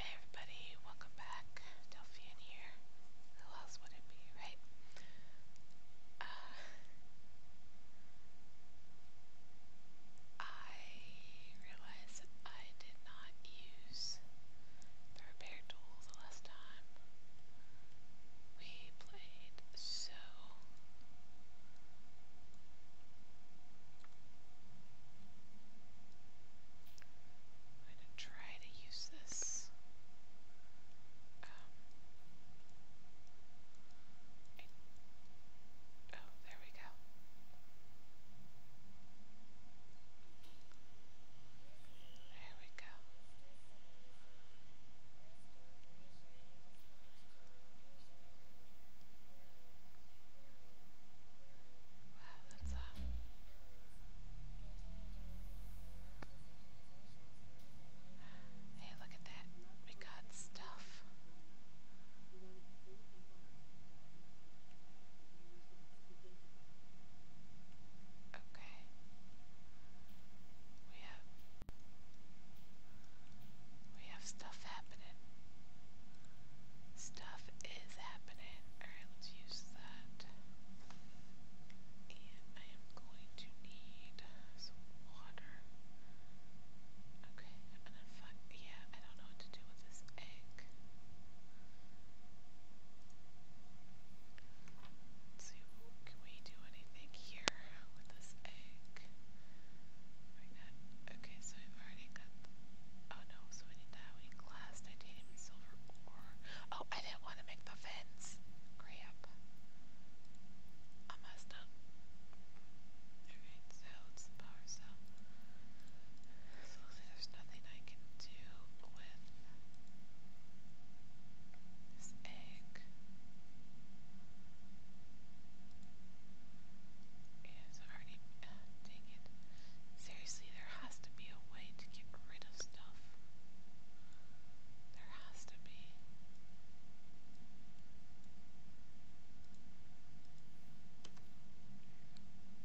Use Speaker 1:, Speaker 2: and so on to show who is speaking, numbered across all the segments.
Speaker 1: Hey everybody, welcome back. Delphian here. Who else would it be, right? Uh, I realized that I did not use the repair tool the last time we played, so I'm try to use this. oh, there we go. There we go. Wow, that's a Hey, look at that. We got stuff. Okay. We have we have stuff happening. Stuff is happening. Alright, let's use that. And I am going to need some water. Okay, and then fuck. Yeah, I don't know what to do with this egg. Let's see, can we do anything here with this egg? Like that. Okay, so I've already got. Oh no, so we need that. We need glass, titanium, and silver ore. Oh, I didn't want to make the fence. Crap. I messed up. Alright, so it's the power cell. So there's nothing I can do with this egg is already, uh, it. Seriously, there has to be a way to get rid of stuff. There has to be.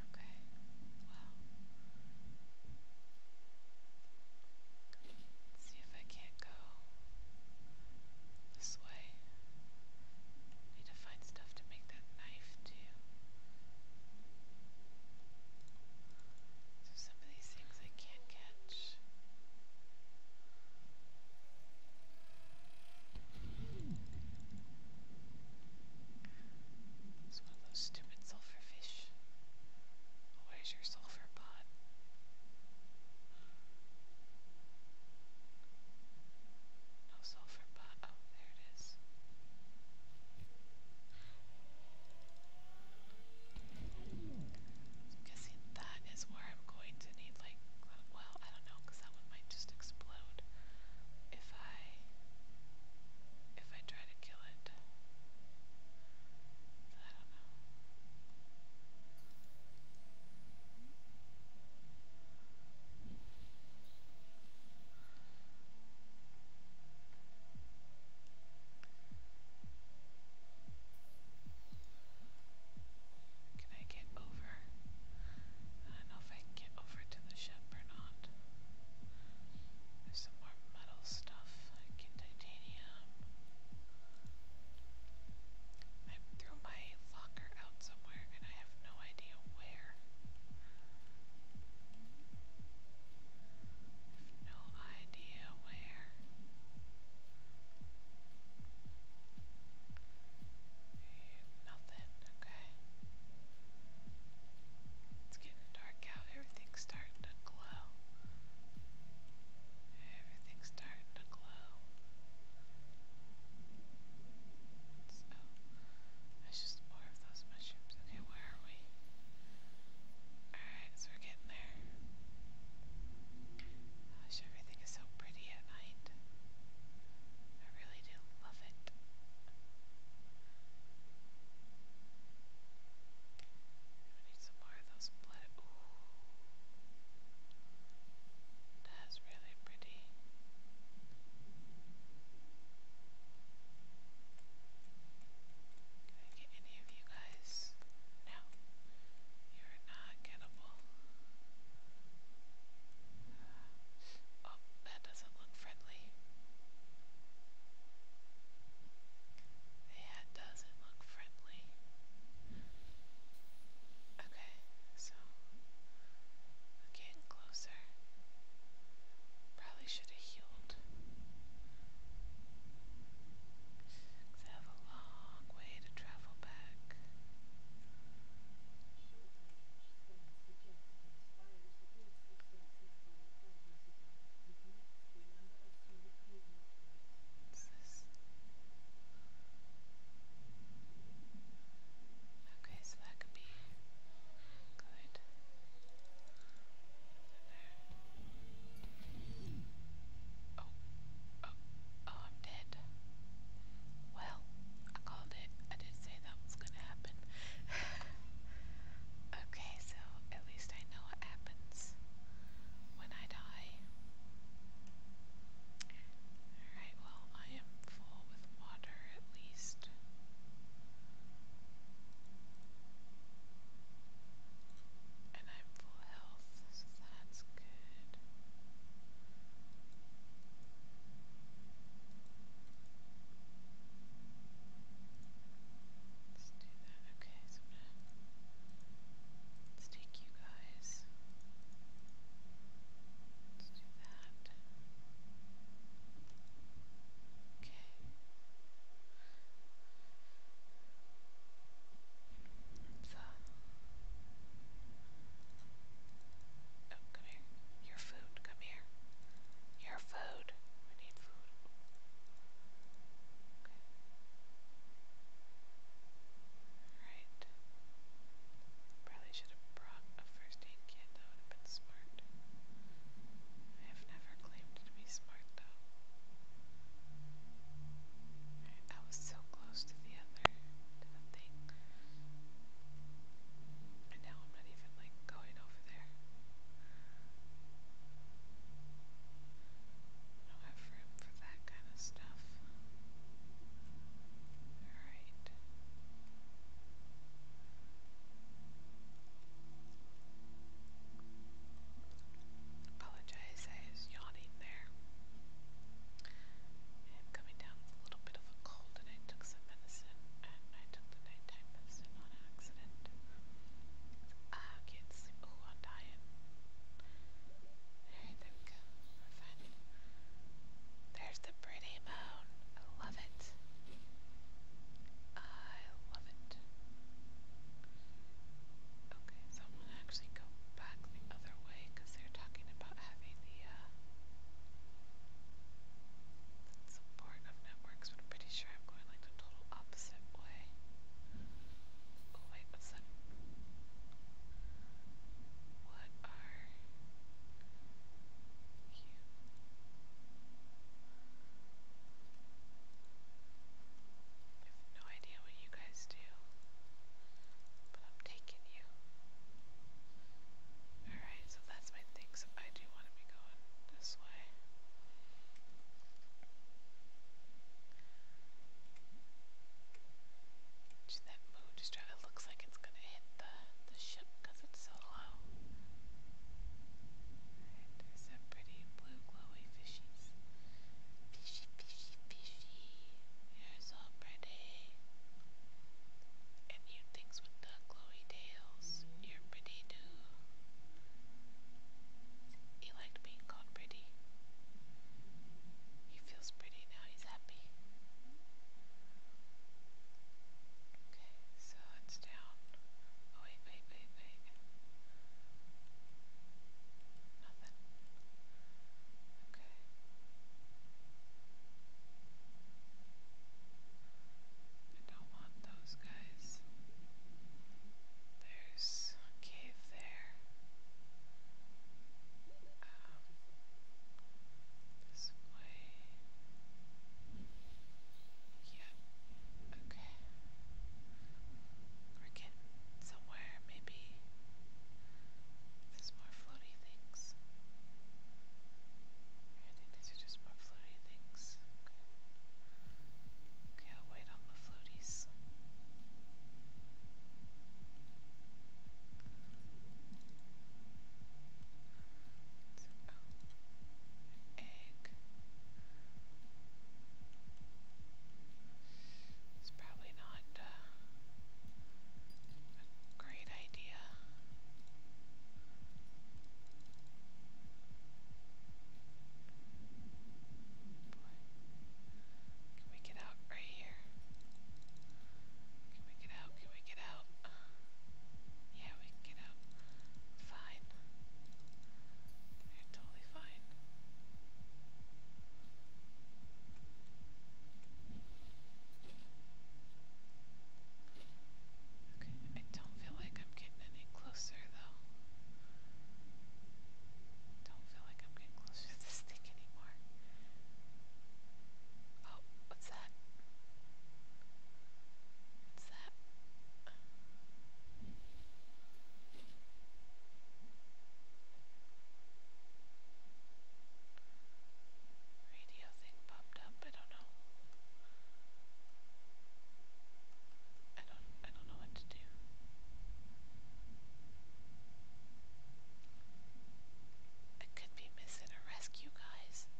Speaker 1: Okay, well. Let's see if I can't go this way. need to find stuff to make that knife too. some of these things I can't catch. It's one of those stupid sulfur fish. Where's your sulfur pod? No sulfur pot. Oh, there it guessing that is where I'm going to need, like, well, I don't know, that one might just explode if I if I try to kill it. I don't know. Can I get over? I don't know if I can get over to the ship or not. There's some more metal stuff, like titanium. I threw my locker out somewhere and I have no idea where. I have no idea where. Nothing, okay. It's getting dark out, everything's starting to glow. Everything's starting to glow. So, that's just more of those mushrooms. Okay, where are we? Alright, so we're getting there. Gosh, everything is so pretty at night. I really do love it. need some more of those that's really pretty. Can I get any of you guys? No, you're not gettable. Uh, oh, that doesn't look friendly. That doesn't look friendly. Okay, so getting closer. Probably should have healed. Cause I have a long way to travel back. Okay, so that could be good. Oh, oh, oh, I'm dead. Well, I called it. I did say that was gonna happen. okay, so at least I know what happens when I die. Alright, well, I am full with water at least. And I'm full health, so that's good. Let's do that. Okay, so let's take you guys. Let's do that. Okay. So. Oh, come here. Your food, come here. Your food. We need food. Okay. Alright. Probably should have brought a first aid kit, that would have been smart. I have never claimed to be smart though. Alright, that was so close to the other, to the thing. And now I'm not even like going over there. I don't have room for that kind of stuff stuff. Alright. Apologize, I was yawning there. I'm coming down a little bit of a cold, and I took some medicine, and I took the nighttime medicine on accident. Ah, can't sleep. Oh, on diet. Alright, there we go. Perfect. There's the pretty moon. I love it. I love it. Okay, so I'm gonna actually go back the other way because they're talking about having the uh support of networks, but I'm pretty sure I'm going like the total opposite way. Oh wait, what's that? What are you? I have no idea what you guys do, but I'm taking you. Alright, so that's my thing, so I do want to be going this way that moon just it looks like it's gonna hit the, the ship it's so low. there's some pretty blue glowy fishies. Fishy, fishy, fishy. You're so pretty. And you things with the glowy tails. You're pretty too. He liked being called pretty. He feels pretty he's happy. Okay, so it's down. Oh, wait, wait, wait, wait. Nothing. Okay. I don't want those guys. There's a cave there. Um, this way. Yeah. Okay. We're getting somewhere, maybe. There's more floaty things. these are just more floaty things. Okay, okay wait on the floaties egg. It's probably not uh, a great idea. Boy. Can we get out right here. Can we get out? Can we get out? Yeah, we can get out. Fine. They're totally fine. Okay, I don't feel like I'm getting any closer though. Don't feel like I'm getting closer to this thing anymore more. Oh, what's that? What's that? Radio thing popped up, I don't know. I don't I don't know what to do. I could be missing a rescue, guys.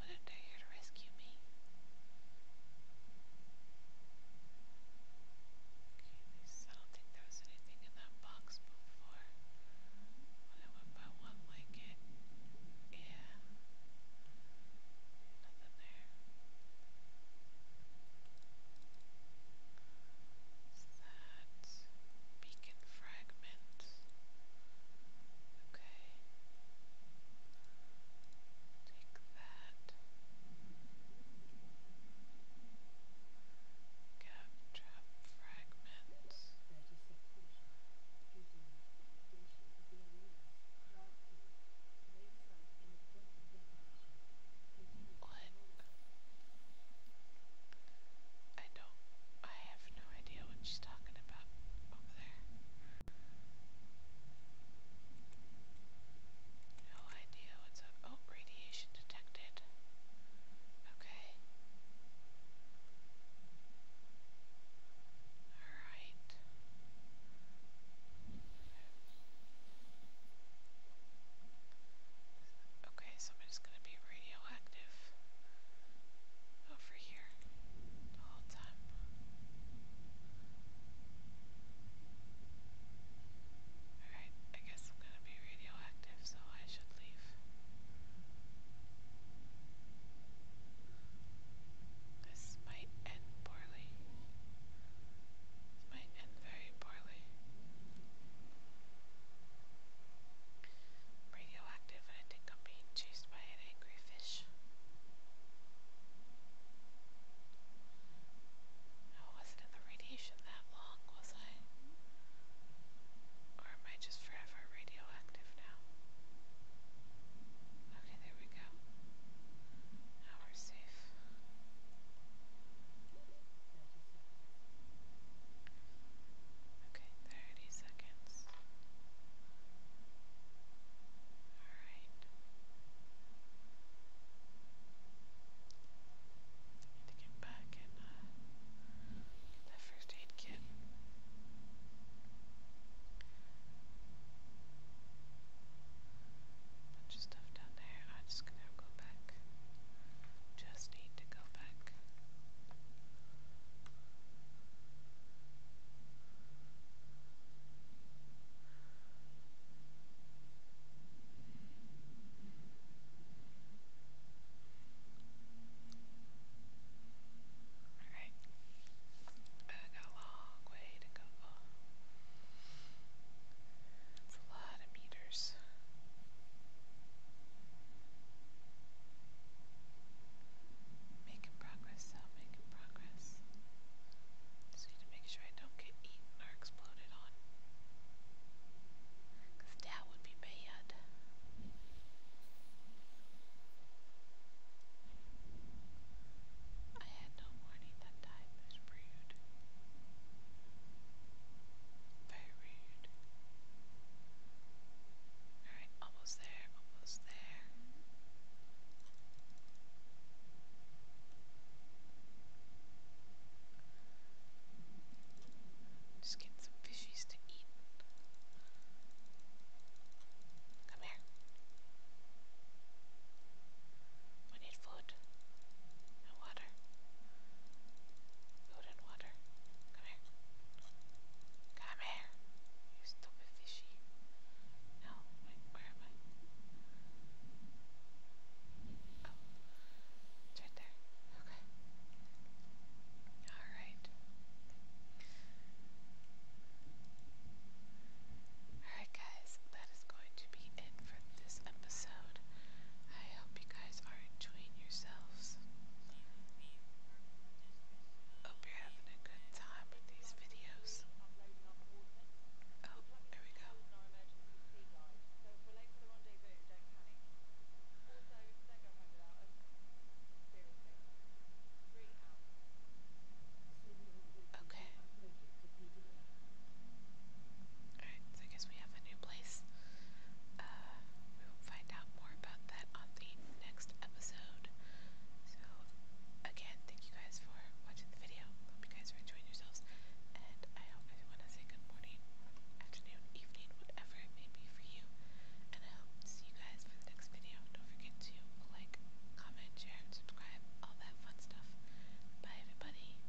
Speaker 1: Wouldn't they here to rescue me? I don't think there was anything in that box before. When I one like Yeah. Nothing there that beacon fragment. Okay. Take that. Cap trap fragment. Let I don't. I have no idea what she's talking about over there. No idea what's up. Oh, radiation detected. Okay. Alright. Okay, somebody's gonna be radioactive over here the whole time. Alright, I guess I'm gonna be radioactive, so I should leave. This might end poorly. This might end very poorly. Radioactive, and I think I'm being chased by an angry fish. I wasn't in the radiation that long, was I? Or am I just forever radioactive now? Okay, there we go. Now we're safe. Okay, 30 seconds. Alright. need to get back and get that first aid kit. Bunch of stuff down there. I'm just gonna go back. Just need to go back. Alright. I got a long way to go. It's a lot of meters. Making progress, though, making progress. Just need to make sure I don't get eaten or exploded on. Because would be bad. I had no warning that time. It very rude. Alright, almost there, almost there. Just get some fishies to eat. Come here. We need food and water. Food water. Come here. Come here. You stupid fishy. No, wait, where am I? Oh, it's right there. Okay. Alright. Alright, guys, that is going to be it for this episode. I hope you guys are enjoying yourselves. Hope you're having a good time with these videos. Oh, there we go. Okay. Alright, I guess we have a new place. Uh, we will find out more about that on the next episode. So again, thank you guys for watching the video. Hope you guys are enjoying yourselves, and I hope everyone has a good morning, afternoon, evening, whatever may be for you. And I hope to see you guys for the next video. Don't forget to like, comment, share, subscribe, all that fun stuff. Bye, everybody.